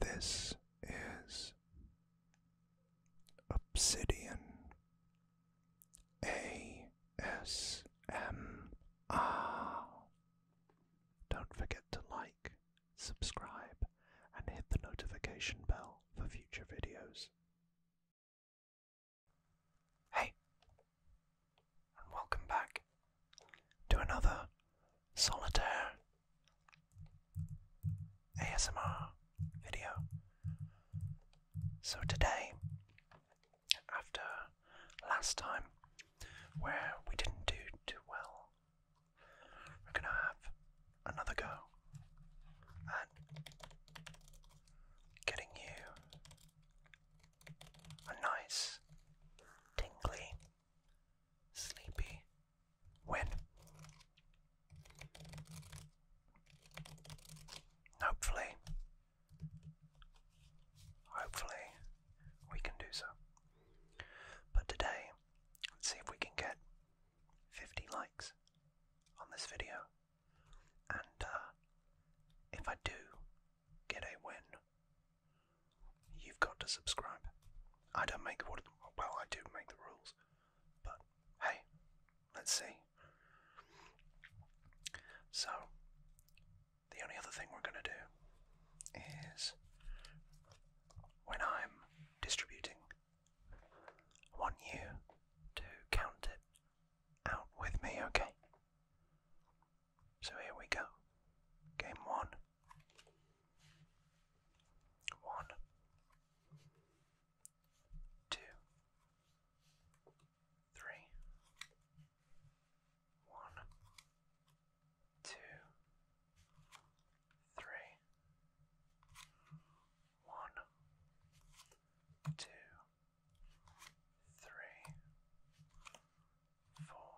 This is Obsidian ASMR. Don't forget to like, subscribe, and hit the notification bell for future videos. Hey, and welcome back to another solitaire ASMR video. So, today, after last time where we didn't do too well, we're gonna have another go at getting you a nice, tingly, sleepy win. Hopefully, hopefully, we can do so. But today, let's see if we can get 50 likes on this video. And uh, if I do get a win, You've got to subscribe. I don't make what well, I do make the rules, but hey, let's see. So, the only other thing we're going to do is when I'm distributing, I want you to count it out with me, okay? So here we go. Game one. One. Two. Three. One. Two. Three. One. Two three, four,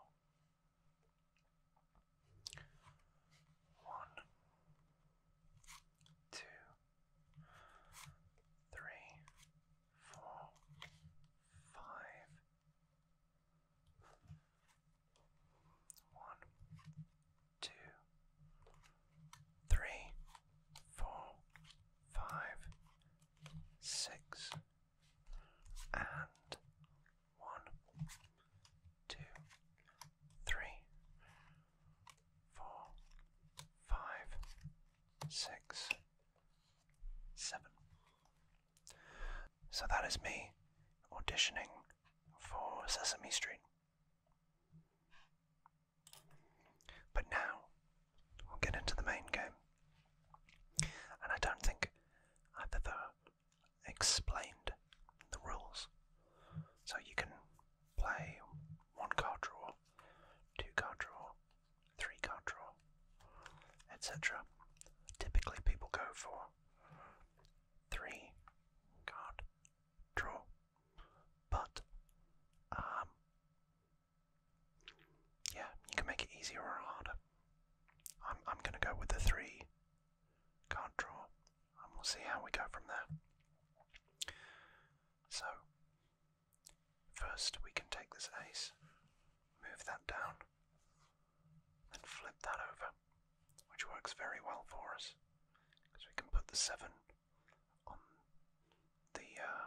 one, two, three, four, five, one, two, three, four, five, six and one, two, three, four, five, six, seven. So that is me auditioning for Sesame Street. But now We'll get into the main game. And I don't think I've ever explained the rules. So you can play one card draw, two card draw, three card draw, etc. Typically, people go for three card draw, but um, yeah, you can make it easier or harder. I'm I'm gonna go with the three card draw, we'll see how we go from there. So first we can take this ace, move that down, and flip that over, which works very well for us, because we can put the seven on the uh,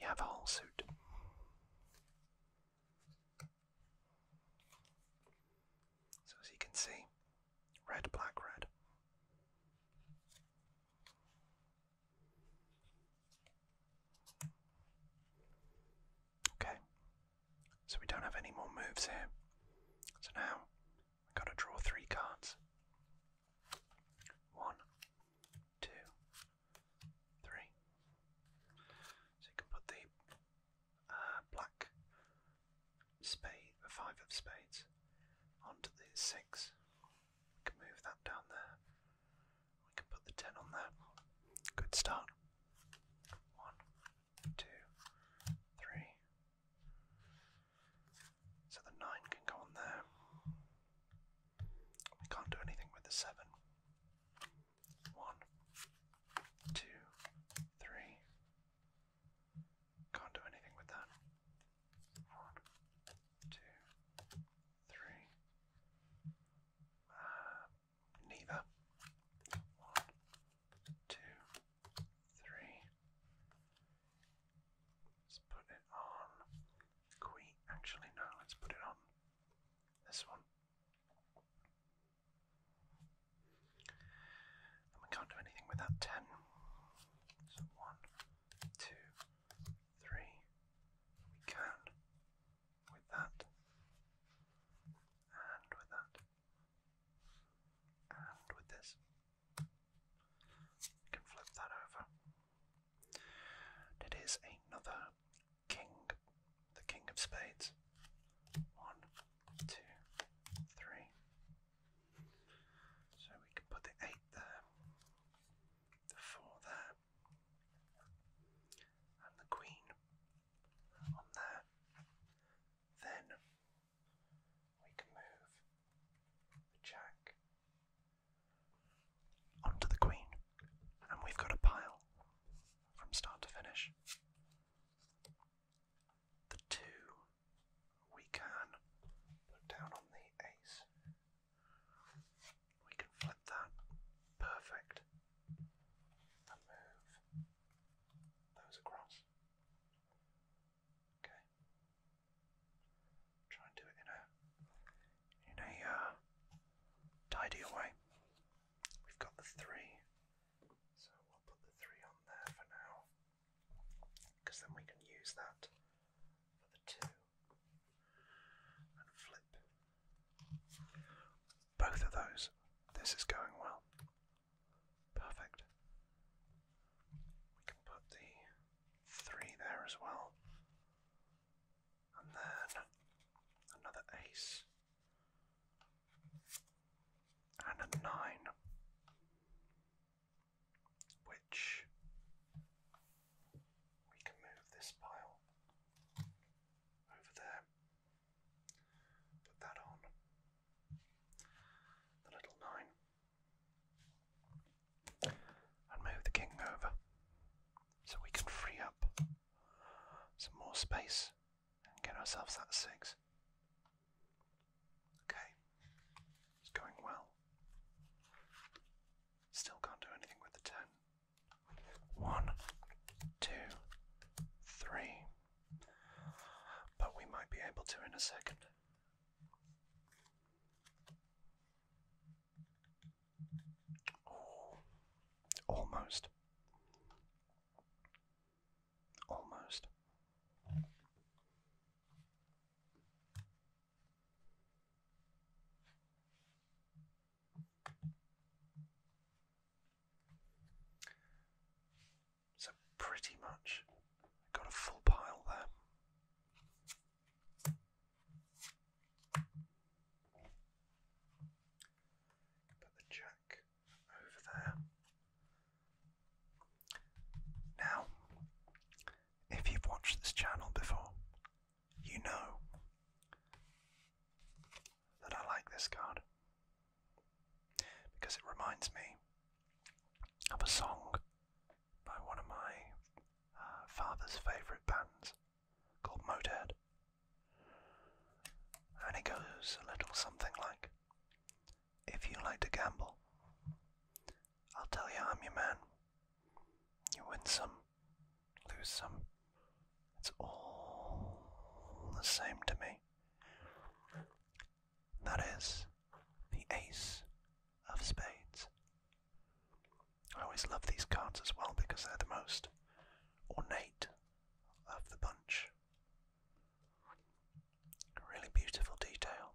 you have a whole suit. So as you can see, red, black, red. Okay, so we don't have any more moves here. So now we've got to draw three cards. One, two, three. So you can put the uh, black spade, the five of spades, onto the six. We can move that down there. We can put the ten on there. Good start. One, two, three. So the 9 can go on there. We can't do anything with the 7. 1, Can't do anything with that. 1, uh, neither. 1, Let's put it on Queen. Actually, no, let's put it on this one. we can't do anything without 10. So 1, We can with that. And with that. And with this. We can flip that over. It is another king, the king of spades. One, two, three. So we can put the eight there, the four there, and the queen on there. Then we can move the jack onto the queen, and we've got a pile from start to finish. The two we can put down on the ace. We can flip that. Perfect. move those across. Okay. Try and do it in a in a uh, way. We've got the three, so we'll put the three on there for now, because then we can use that for the two and flip both of those. This is going well. Perfect. We can put the three there as well. And then another ace. And a nine. Which we can move this pile over there. Put that on. The little nine and move the king over so we can free up some more space and get ourselves that six. Okay, it's going well. Still can't do anything with the ten. One, two, three. But we might be able to in a second. Oh. almost. Almost. So pretty much got a full pile there. Put the jack over there. Now, if you've watched this channel before, you know that I like this card because it reminds me of a song by one of my uh, father's favourite bands called Motorhead. And it goes a little something like If you like to gamble, I'll tell you I'm your man. You win some, lose some. It's all the same to me. That is the Ace of Spades. I always love these cards as well because they're the most ornate of the bunch. Really beautiful detail.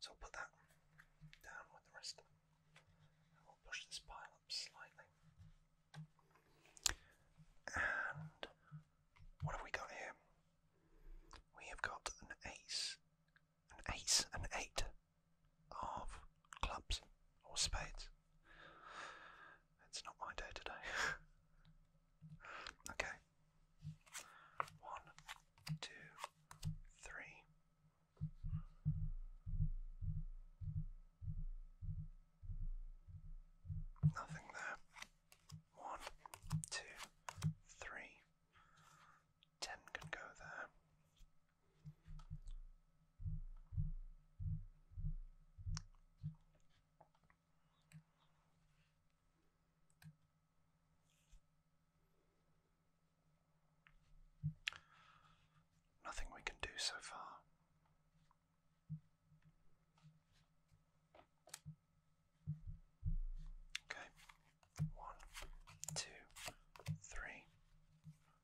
So I'll put that down with the rest. I will push this pile up slightly. And what have we got here? We have got an ace, an ace, an eight, of clubs or spades. It's not my day today. okay. One, two, three. Nothing there. One, two, three. Ten can go there. Nothing we can do so far. Okay, one, two, three,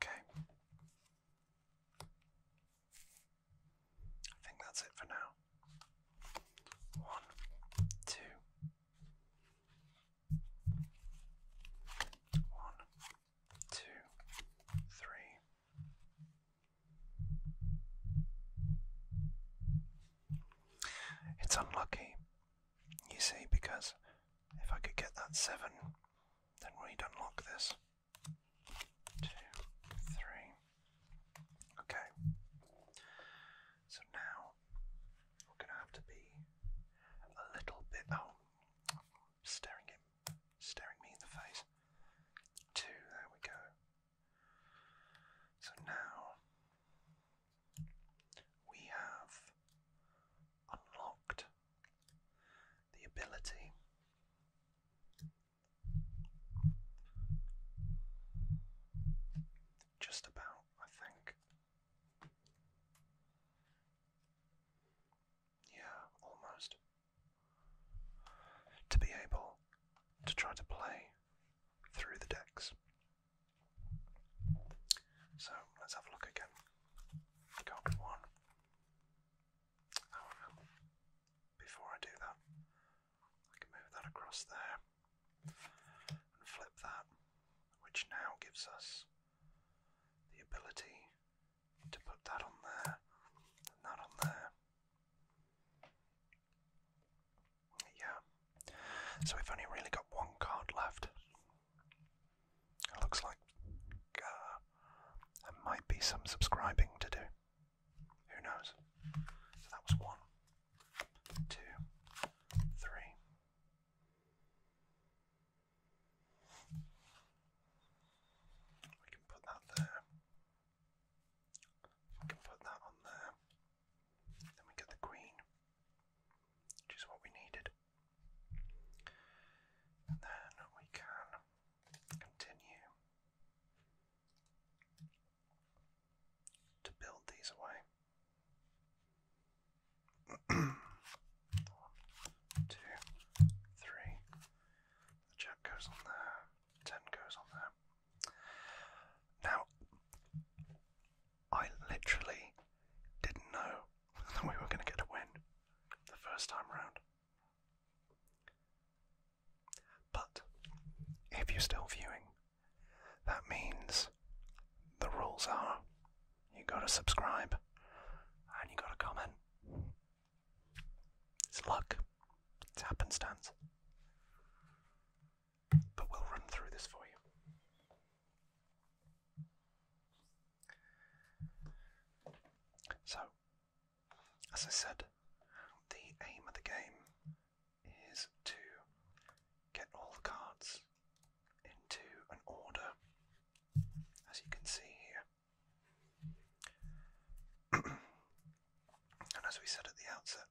Okay. I think that's it for now. One, two, one, two, three. It's unlucky you see, because if I could get that seven, then we'd unlock this. Two, three. Okay. So now we're going to have to be a little bit. Oh, staring him, staring me in the face. Two, there we go. So now we have unlocked the ability just about, I think. Yeah, almost. To be able to try to play through the decks so let's have a look again. Card one. before I do that, I can move that across there and flip that, which now gives us the ability to put that on there and that on there. Yeah. So we've only really got one card left. It looks like uh, there might be some subscribing to do. Who knows? So that was one, two, three. We can put that there. We can put that on there. Then we get the green, which is what we needed. then we can continue to build these away. One, two, three. The jack goes on there, ten goes on there. Now, I literally didn't know that we were going to get a win the first time around. But if you're still viewing, that means the rules are you gotta subscribe and you gotta comment. It's luck, it's happenstance but we'll run through this for you. So, as I said, the aim of the game is to get all the cards into an order, as you can see here. and as we said at the outset,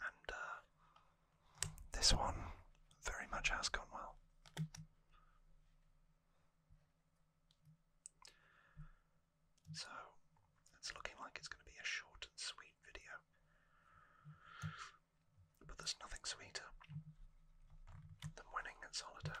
And uh, this one very much has gone well. So it's looking like it's going to be a short and sweet video. But there's nothing sweeter than winning at solitaire.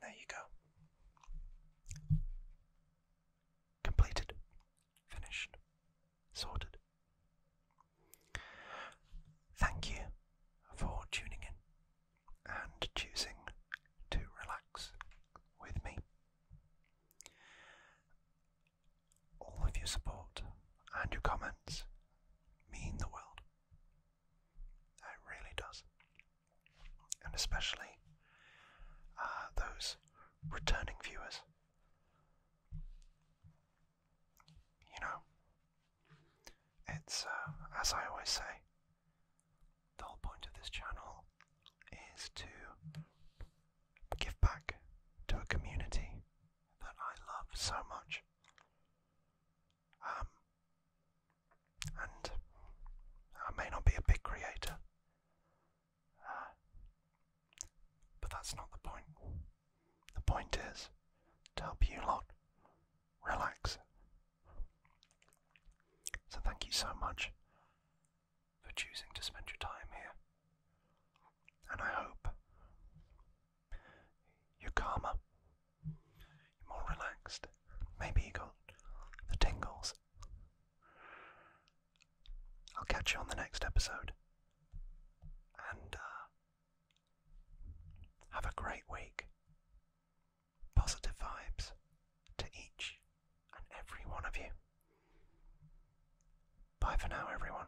There you go. Completed, finished, sorted. Thank you for tuning in and choosing to relax with me. All of your support and your comments mean the world. It really does. And especially uh, those returning viewers. You know, it's, uh, as I always say, the whole point of this channel is to give back to a community that I love so much. Um, and I may not be a big creator, uh, but that's not the point. The point is to help you lot relax. So, thank you so much for choosing to spend your time here. And I hope you're calmer, you're more relaxed. Maybe you got the tingles. I'll catch you on the next episode. And uh, have a great week. Positive vibes to each and every one of you. Bye for now, everyone.